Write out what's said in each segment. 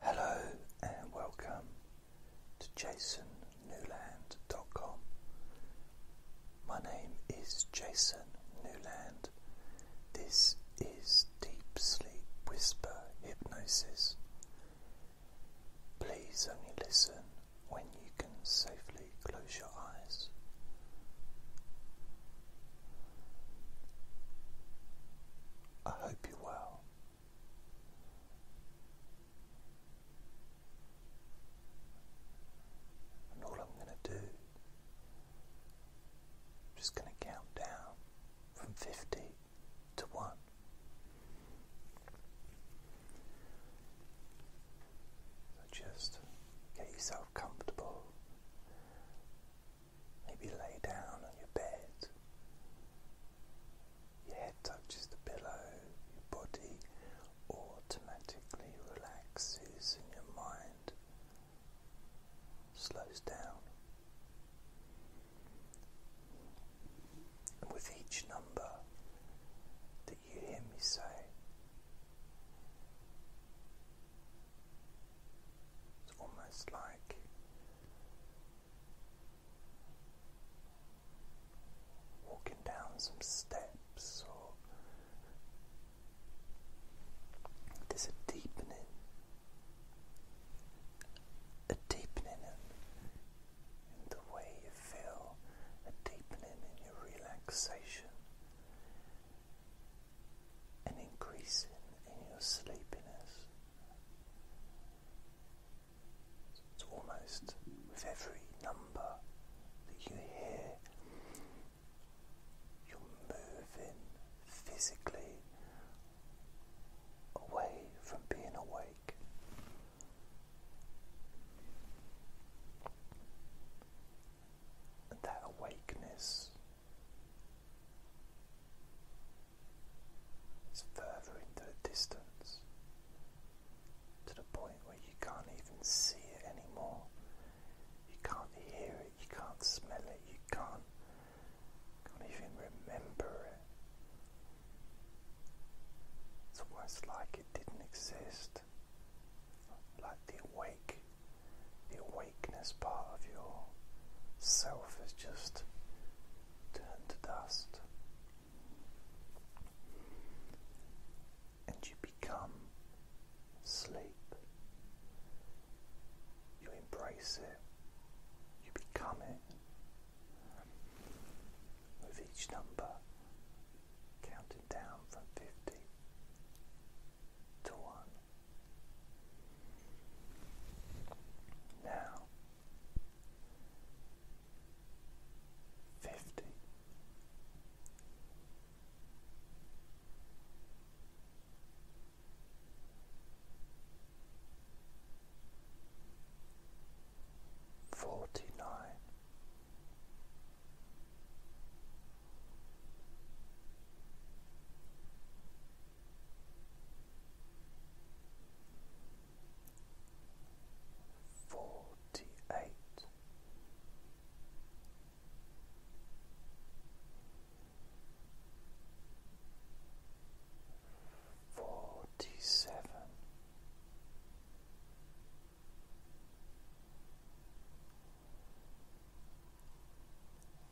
Hello and welcome to jasonnewland.com. My name is Jason Newland. This is Deep Sleep Whisper Hypnosis. Please only listen when you can safely close your eyes. I hope you're well. And all I'm going to do, i just going to count down from 50 to 1. So just get yourself comfortable. Maybe lay down on your bed. Your head touches the pillow, your body automatically relaxes, and your mind slows down. And with each number that you hear me say, it's almost like walking down some steps, or there's a deepening, a deepening in the way you feel, a deepening in your relaxation and increasing in your sleepiness. It's almost with every number that you hear, you're moving physically away from being awake. that awakeness it's further into the distance to the point where you can't even see it anymore. You can't hear it, you can't smell it, you can't, can't even remember it. It's almost like it didn't exist, like the awake the awakeness part of your self is just turned to dust. And you become sleep. You embrace it. You become it. With each number counting down from 50 to one. Now, fifty. Forty nine, Forty eight, forty seven.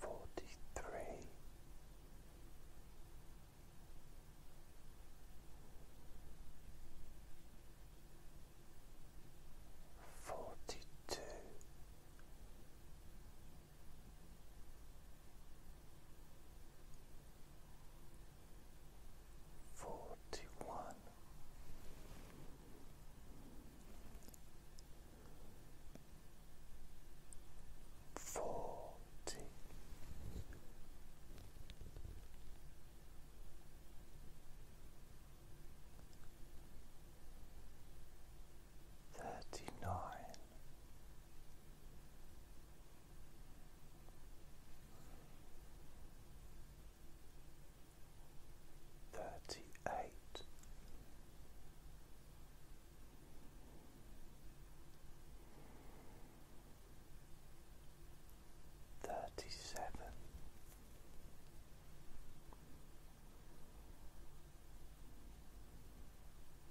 Forty three, forty two forty one forty thirty nine Thirty eight, thirty seven,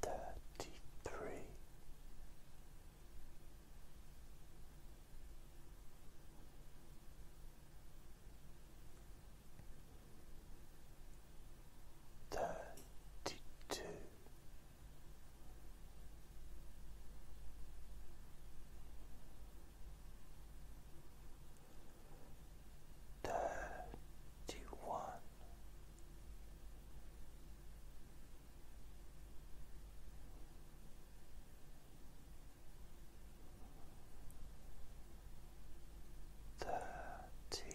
thirty three. Thirty two, thirty one. Thirty thirty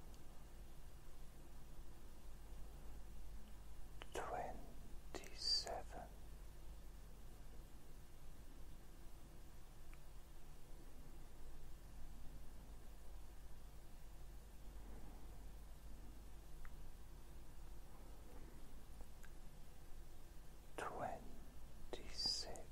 twenty seven. Twenty six,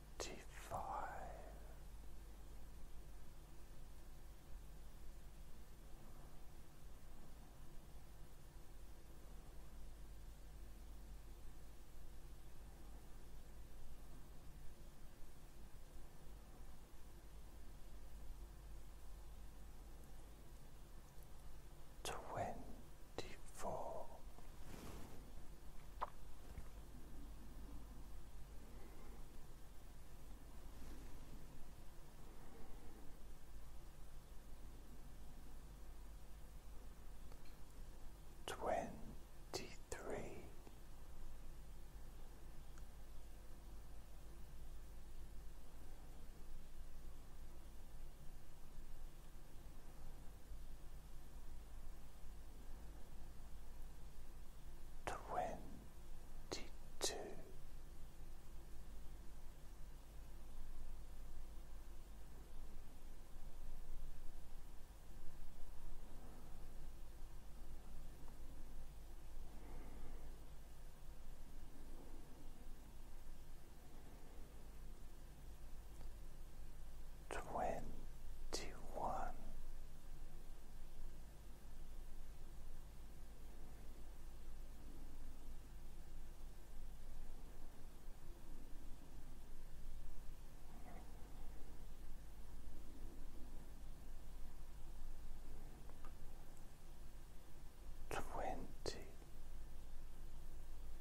Five, twenty four. 24 Twenty three, twenty two twenty one. Twenty